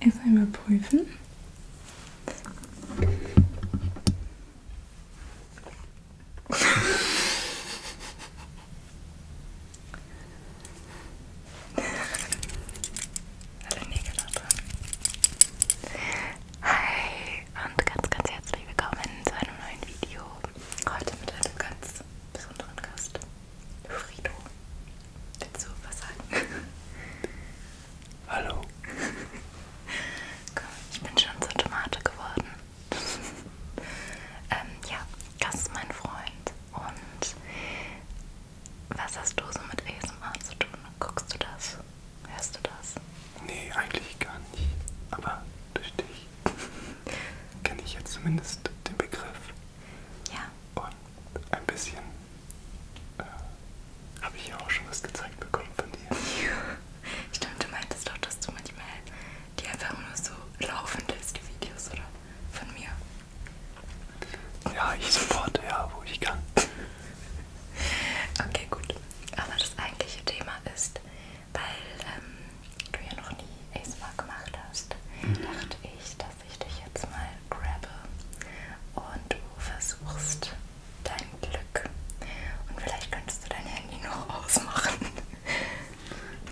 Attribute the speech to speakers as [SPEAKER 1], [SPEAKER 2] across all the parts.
[SPEAKER 1] Erst einmal prüfen. Alle Nägel da dran. Hi und ganz, ganz herzlich willkommen zu einem neuen Video. Heute mit einem ganz besonderen Gast. Frido, willst du was sagen? Hallo. Ich bin schon zur Tomate geworden. ähm, ja, das ist mein Freund. Und was hast du so mit ASMR zu tun? Guckst du das? Hörst du das? Nee, eigentlich gar nicht. Aber durch dich kenne ich jetzt zumindest den Begriff. Ja. Und ein bisschen äh, habe ich ja auch schon was gezeigt bekommen von dir. Ja. Stimmt, du meintest doch, dass du manchmal die einfach nur so laufen lässt, die Videos, oder? Von mir. Ja, ich sofort, ja, wo ich kann. Okay, gut. Aber das eigentliche Thema ist, weil ähm, du ja noch nie ASMR gemacht hast, mhm. dachte ich, dass dass ich dich jetzt mal grabbe und du versuchst dein Glück. Und vielleicht könntest du dein Handy noch ausmachen.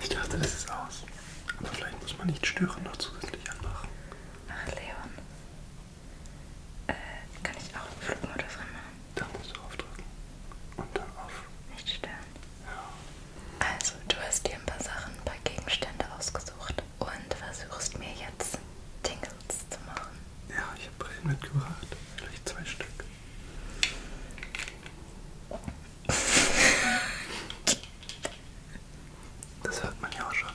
[SPEAKER 1] Ich dachte, es ist aus. Aber vielleicht muss man nicht stören noch zusätzlich anmachen. Ach, Leon. Äh, kann ich auch den Flugmodus anmachen? Da musst du aufdrücken. Und dann auf. Nicht stören. Ja. Also, du hast dir ein paar Sachen, ein paar Gegenstände ausgesucht und versuchst mir jetzt Tingles zu machen. Ja, ich habe Brillen mitgebracht. Vielleicht zwei Stück. Das hört man ja auch schon.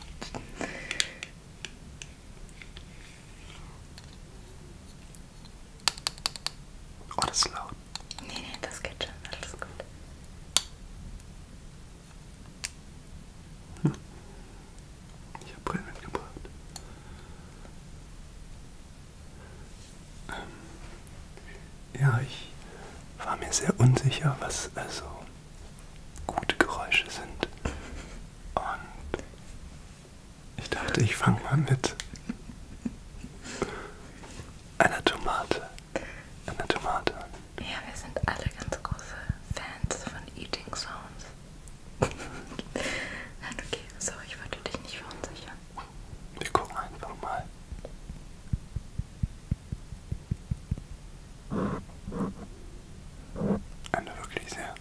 [SPEAKER 1] Oh, das ist laut. Nee, nee, das geht schon. Alles gut. Hm. Ich habe Brillen mitgebracht. Ähm, ja, ich war mir sehr unsicher, was also gute Geräusche sind. Und ich dachte, ich fange mal mit einer Tomate. Einer Tomate. Ja, wir sind alle ganz große Fans von Eating Sounds. Nein, okay, sorry, ich wollte dich nicht verunsichern. Wir gucken einfach mal. Eine wirklich sehr,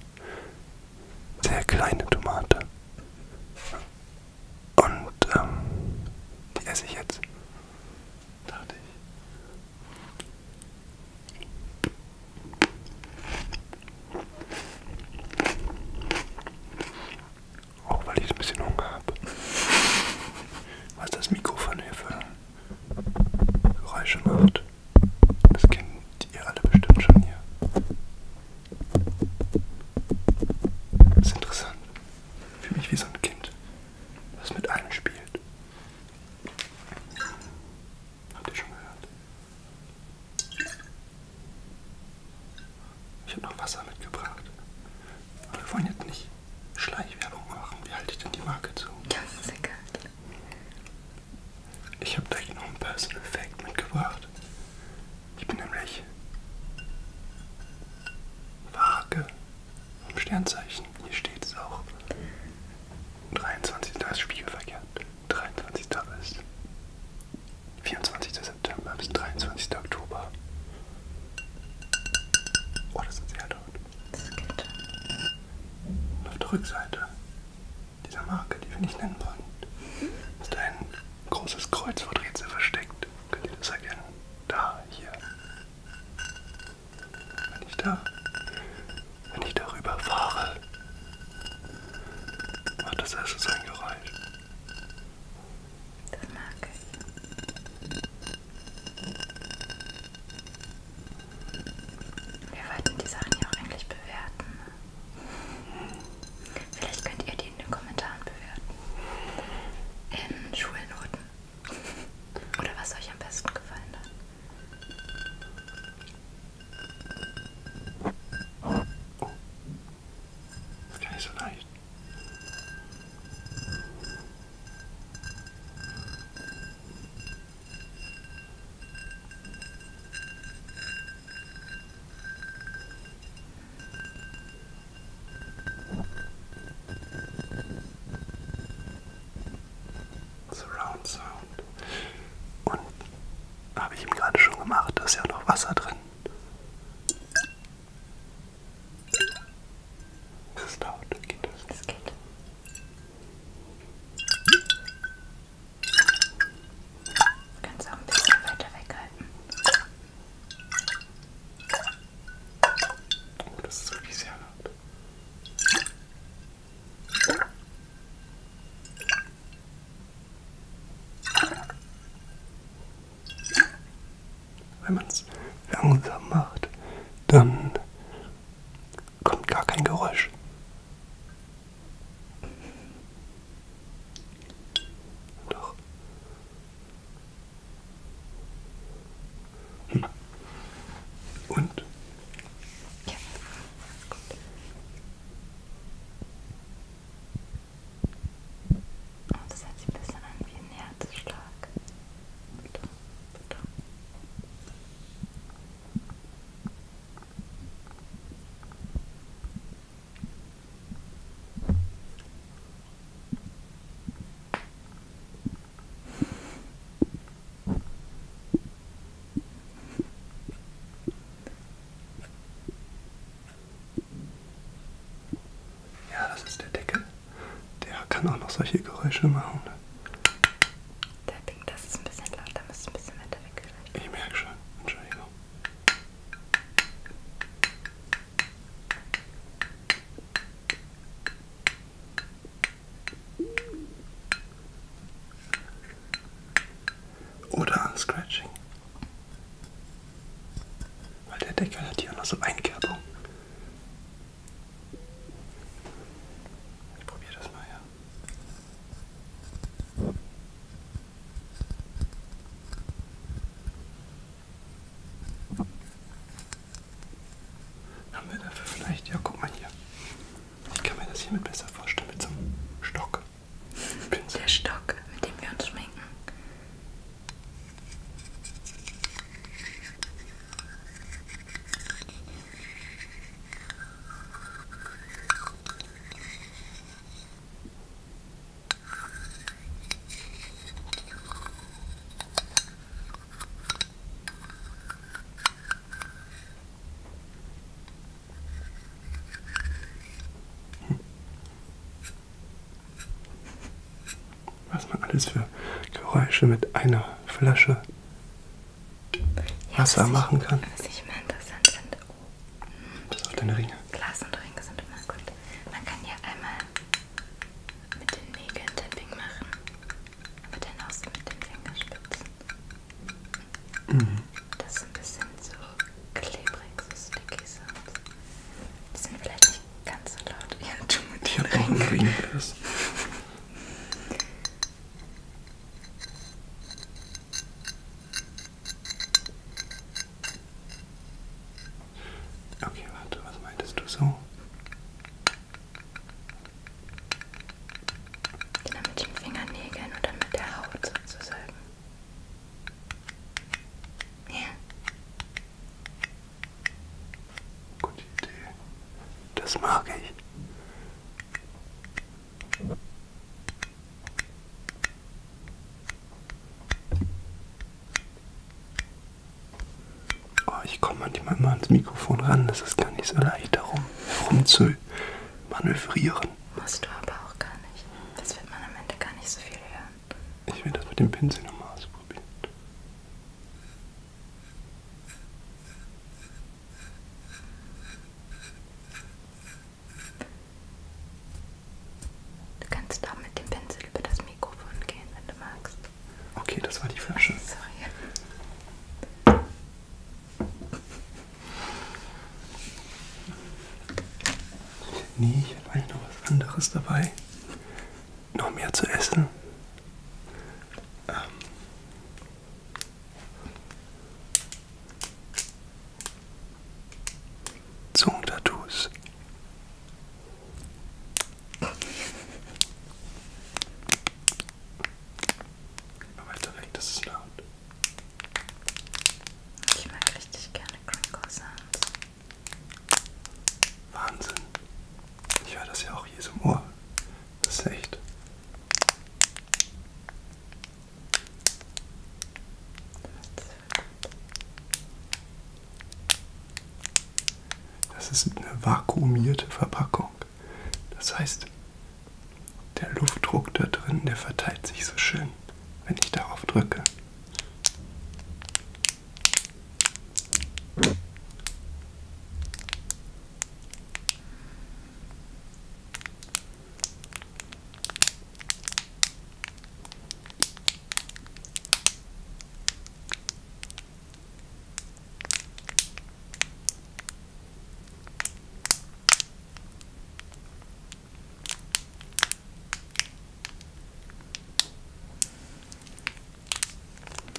[SPEAKER 1] sehr kleine Tomate. Und ähm, die esse ich jetzt dachte ich. Auch weil ich ein bisschen Hunger habe. Was das Mikrofon hier für Geräusche macht. Das kennt ihr alle bestimmt schon hier. Das ist interessant. Für mich wie so ein Kind was mit einem spielt. Habt ihr schon gehört? Ich habe noch Wasser mitgebracht. Aber wir wollen jetzt nicht Schleichwerbung machen. Wie halte ich denn die Marke zu? Das ist egal. Ich habe gleich noch einen Personal Fact mitgebracht. Ich bin nämlich vage im Sternzeichen. Hier steht es auch. 23. ist spiegelverkehrt. 23. ist 24. September bis 23. Oktober. Oh, das ist sehr laut. Das geht. Und auf der Rückseite dieser Marke, die wir nicht nennen wollen, mhm. ist ein großes Kreuzworträtsel versteckt. Könnt ihr das erkennen? da, hier. Wenn ich da, wenn ich darüber fahre, macht das erst so ein Geräusch. Das mag ich. Wir wollten die Sachen ja auch eigentlich bewerten. Ne? Vielleicht könnt ihr die in den Kommentaren bewerten in ähm, Schulnoten. Oder was euch am besten gefallen hat. Gar nicht so leicht. Surround Sound. Und habe ich ihm gerade schon gemacht, da ist ja noch Wasser drin. Ist es laut? Geht das? Das geht. Du kannst auch ein bisschen weiter weghalten. Oh, das ist wirklich sehr laut. Wenn man es langsam macht, dann kommt gar kein Geräusch. Doch, hm. Und? Ja. Gut. Oh, das hört sich ein bisschen an wie ein Herzschlag. Bitte, bitte. Ja, das ist der Deckel. Der kann auch noch solche Geräusche machen. Tapping, das ist ein bisschen laut, da muss ein bisschen weiter weg vielleicht. Ich merke schon, Entschuldigung. Oder Scratching. Weil der Deckel hat hier noch so Einkerbung. Ich probiere das mal, ja. Haben wir dafür vielleicht, ja guck mal hier. Ich kann mir das hiermit besser vorstellen, mit so einem Stock. Der Stock, mit dem wir uns schminken. Was man alles für Geräusche mit einer Flasche Wasser ja, machen kann. Ich, was ich mal interessant finde. Das auch deine Ringe. Glas und Ringe sind immer gut. Man kann hier einmal mit den Nägeln Tapping machen, aber dann auch so mit den Fingerspitzen. Mhm. Das ist ein bisschen so klebrig, so sticky Sounds. Die sind vielleicht nicht ganz so laut. Ja, du mit den Ringen. Ring ist. Okay, warte, was meintest du so? Genau mit den Fingernägeln und dann mit der Haut sozusagen. Ja. Gute Idee. Das mag ich. Oh, ich komme manchmal immer ans Mikrofon ran, das ist gar nicht so leicht darum, herum zu manövrieren. Musst du aber auch gar nicht. Das wird man am Ende gar nicht so viel hören. Ich will das mit dem Pinsel nochmal ausprobieren. Du kannst auch mit dem Pinsel über das Mikrofon gehen, wenn du magst. Okay, das war die Flasche. Sorry. Nee, ich habe eigentlich noch was anderes dabei. Noch mehr zu essen. Ähm. Zungentattoos. Immer weiter weg, das ist laut. Ich mag richtig gerne Crinkle Sounds. Wahnsinn. Ich höre das ja auch hier so im Ohr. Das ist echt. Das ist eine vakuumierte Verpackung. Das heißt, der Luftdruck da drin, der verteilt sich so schön, wenn ich darauf drücke.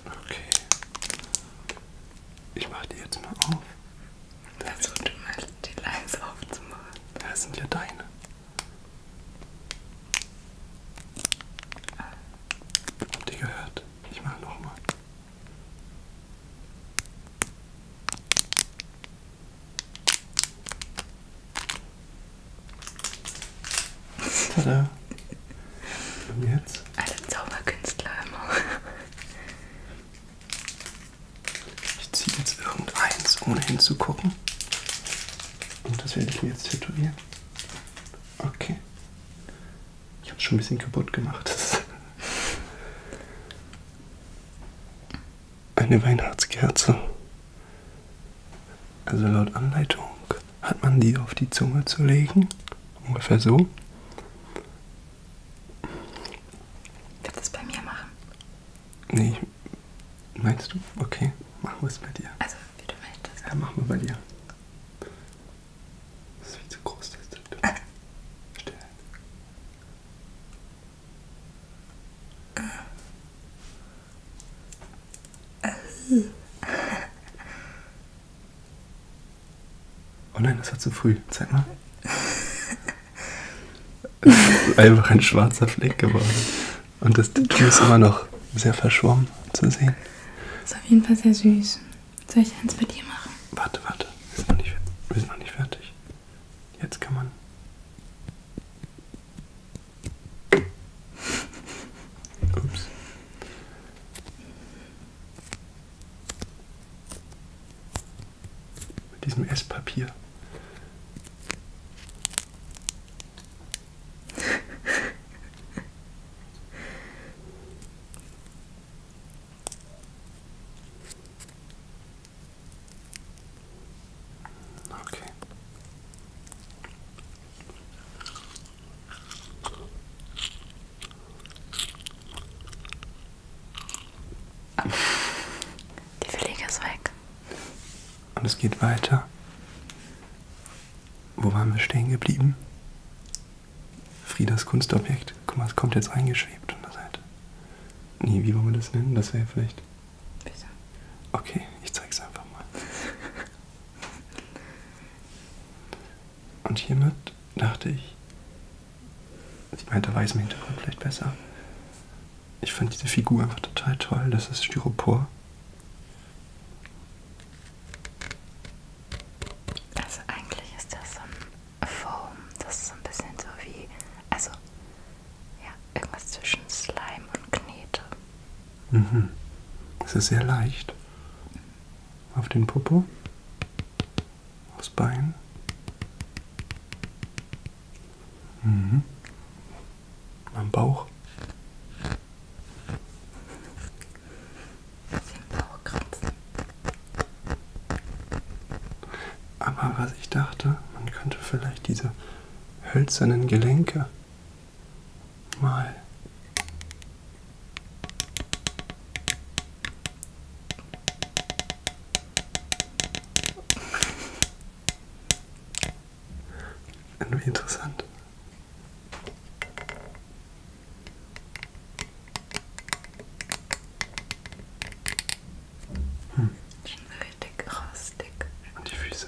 [SPEAKER 1] Okay. Ich mache die jetzt mal auf. Versuch also, du mal die Lines aufzumachen. Das sind ja deine. Habt ihr gehört? Ich mache nochmal. Tada. Und jetzt? Alle Zauberkünstler immer. Ich ziehe jetzt irgendeins, ohne hinzugucken. Und das werde ich mir jetzt tätowieren. Okay. Ich habe es schon ein bisschen kaputt gemacht. Eine Weihnachtskerze. Also laut Anleitung hat man die auf die Zunge zu legen. Ungefähr so. Wird das bei mir machen? Nee, meinst du? Okay, machen wir es bei dir. Also, wie du möchtest. Ja, machen wir bei dir. Das ist viel zu groß, das Tattoo. Still. Oh nein, das war zu früh. Zeig mal. Es ist einfach ein schwarzer Fleck geworden. Und das Tattoo ist immer noch sehr verschwommen zu sehen. Ist auf jeden Fall sehr süß. Soll ich eins bei dir machen? Warte, warte. Wir sind noch nicht, wir sind noch nicht fertig. Jetzt kann man. Ups. Mit diesem Esspapier. Okay. Die Fliege ist weg. Und es geht weiter. Wo waren wir stehen geblieben? Friedas Kunstobjekt. Guck mal, es kommt jetzt eingeschwebt von der Seite. Nee, wie wollen wir das nennen? Das wäre vielleicht. Bitte. Okay, ich zeig's einfach mal. Und hiermit dachte ich, Sieht also man hinter weißem Hintergrund vielleicht besser. Ich fand diese Figur einfach total toll. Das ist Styropor. Also eigentlich ist das so ein Foam. Das ist so ein bisschen so wie, also ja, irgendwas zwischen Slime und Knete. Mhm. Es ist sehr leicht. Auf den Popo aufs Bein. Mhm. Am Bauch. Aber was ich dachte, man könnte vielleicht diese hölzernen Gelenke mal irgendwie interessant. Hm. Schon richtig rostig. Und die Füße.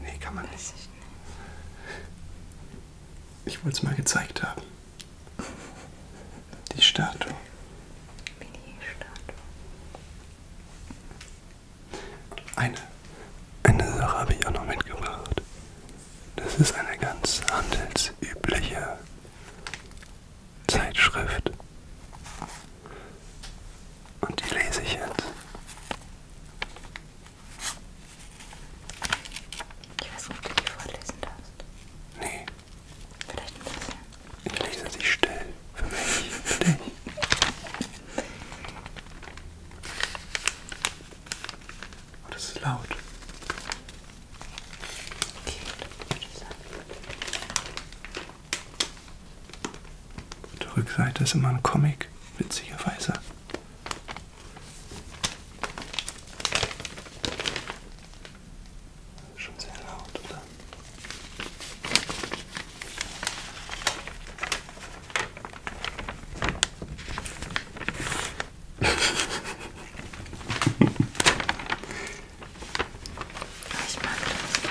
[SPEAKER 1] Nee, kann man nicht. Ich wollte es mal gezeigt haben. Die Statue. Eine, eine Sache habe ich auch noch mitgebracht. Das ist eine ganz handelsübliche Zeitschrift. Und die lese ich jetzt. Ich weiß nicht, ob du die vorlesen darfst. Nee. Vielleicht ein bisschen. Ich lese sie still. Für mich. Für dich. Oh, das ist laut. Okay, auf der Rückseite ist immer ein Comic, witzigerweise. Schon sehr laut, oder? ich mag das.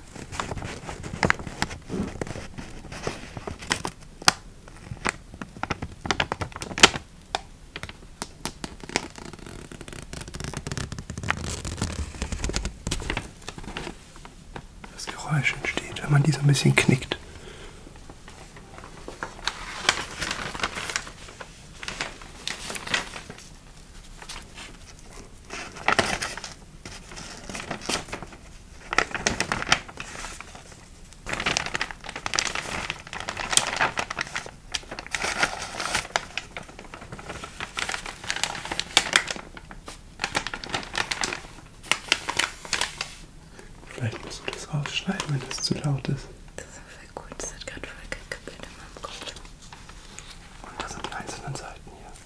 [SPEAKER 1] Das Geräusch entsteht, wenn man die so ein bisschen knickt. Vielleicht musst du das rausschneiden, wenn das zu laut ist. Das ist voll gut, das hat gerade voll gekappelt in meinem Kopf. Und das sind einzelne Seiten hier.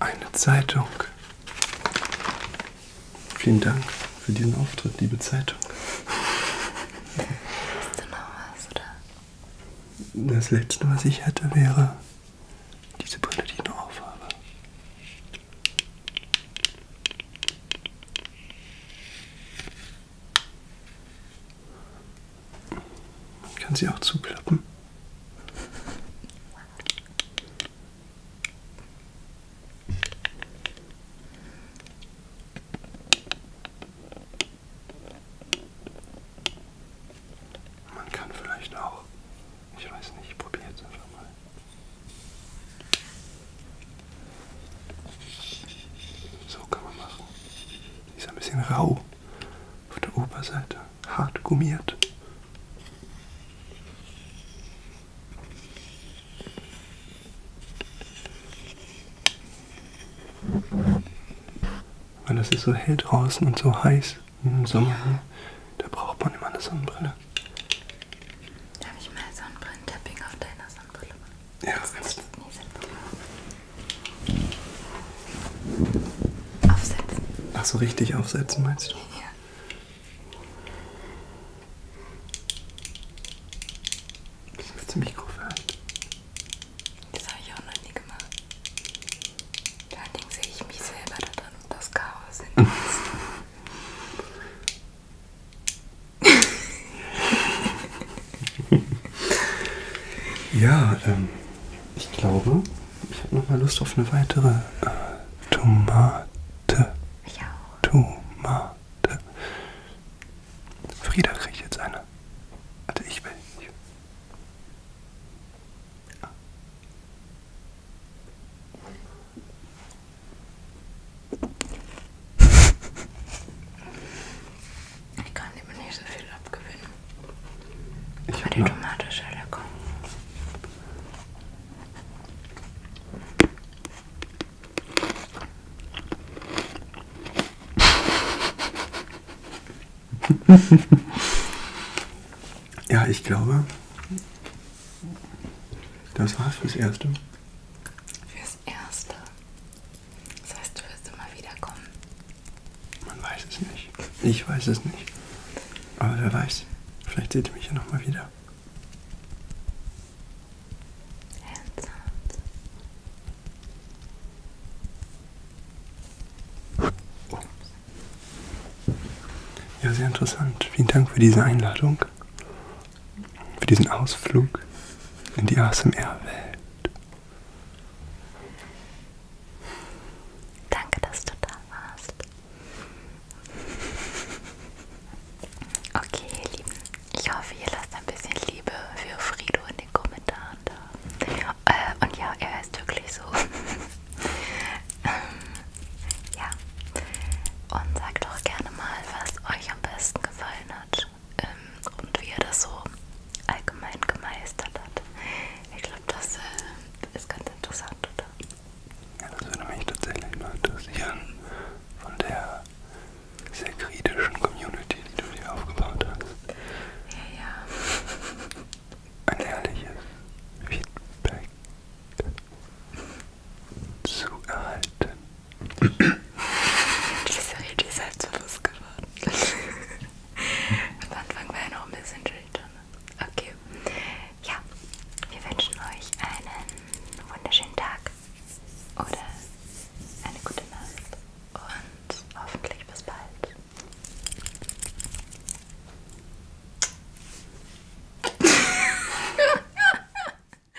[SPEAKER 1] Eine Zeitung. Vielen Dank für diesen Auftritt, liebe Zeitung. Hast du noch was, oder? Das letzte, was ich hätte, wäre diese Brille, die ich noch aufhabe. Ich kann sie auch zuklappen. Man kann vielleicht auch, ich weiß nicht, ich probiere jetzt einfach mal. So kann man machen. Die ist ein bisschen rau auf der Oberseite, hart gummiert. Weil das ist so hell draußen und so heiß im Sommer hier, da braucht man immer eine Sonnenbrille. Darf ich mal Sonnenbrillentepping auf deiner Sonnenbrille machen? Ja. Aufsetzen. Ach so, richtig aufsetzen meinst du? Ja. Das ist ziemlich grob Das habe ich auch noch nie gemacht. Vor allen Dingen sehe ich mich selber da drin und das Chaos in ja, ähm, ich glaube, ich habe nochmal Lust auf eine weitere äh, Tomate. Ich auch. Tomate. Frieda kriegt jetzt eine. Warte, ich will. Ich. Ah. Ich kann dem nicht so viel abgewinnen. Ich Aber die Tomate ist ja lecker. ja, ich glaube, das war's fürs Erste. Fürs Erste. Das heißt, du wirst immer wiederkommen. Man weiß es nicht. Ich weiß es nicht. Aber wer weiß, vielleicht seht ihr mich ja nochmal wieder. Oh. Ja, sehr interessant. Vielen Dank für diese Einladung für diesen Ausflug in die ASMR-Welt. Danke, dass du da warst. Okay, ihr Lieben, ich hoffe, ihr lasst ein bisschen Liebe für Frido in den Kommentaren da. Äh, und ja, er ist wirklich so. ja. Und sagt doch gerne mal, was euch am besten gefallen hat ähm, und wie er das so allgemein gemeistert hat. Ich glaube, das äh, ist ganz interessant, oder? Ja, das würde mich tatsächlich mal interessieren von der sehr kritischen Community, die du dir aufgebaut hast. Ja, ja. Ein ehrliches Feedback zu erhalten. Diese Rede ist selbstbewusst geworden. Am Anfang war er noch ein bisschen schüchtern. Okay. Ja, wir wünschen euch einen wunderschönen Tag oder eine gute Nacht und hoffentlich bis bald.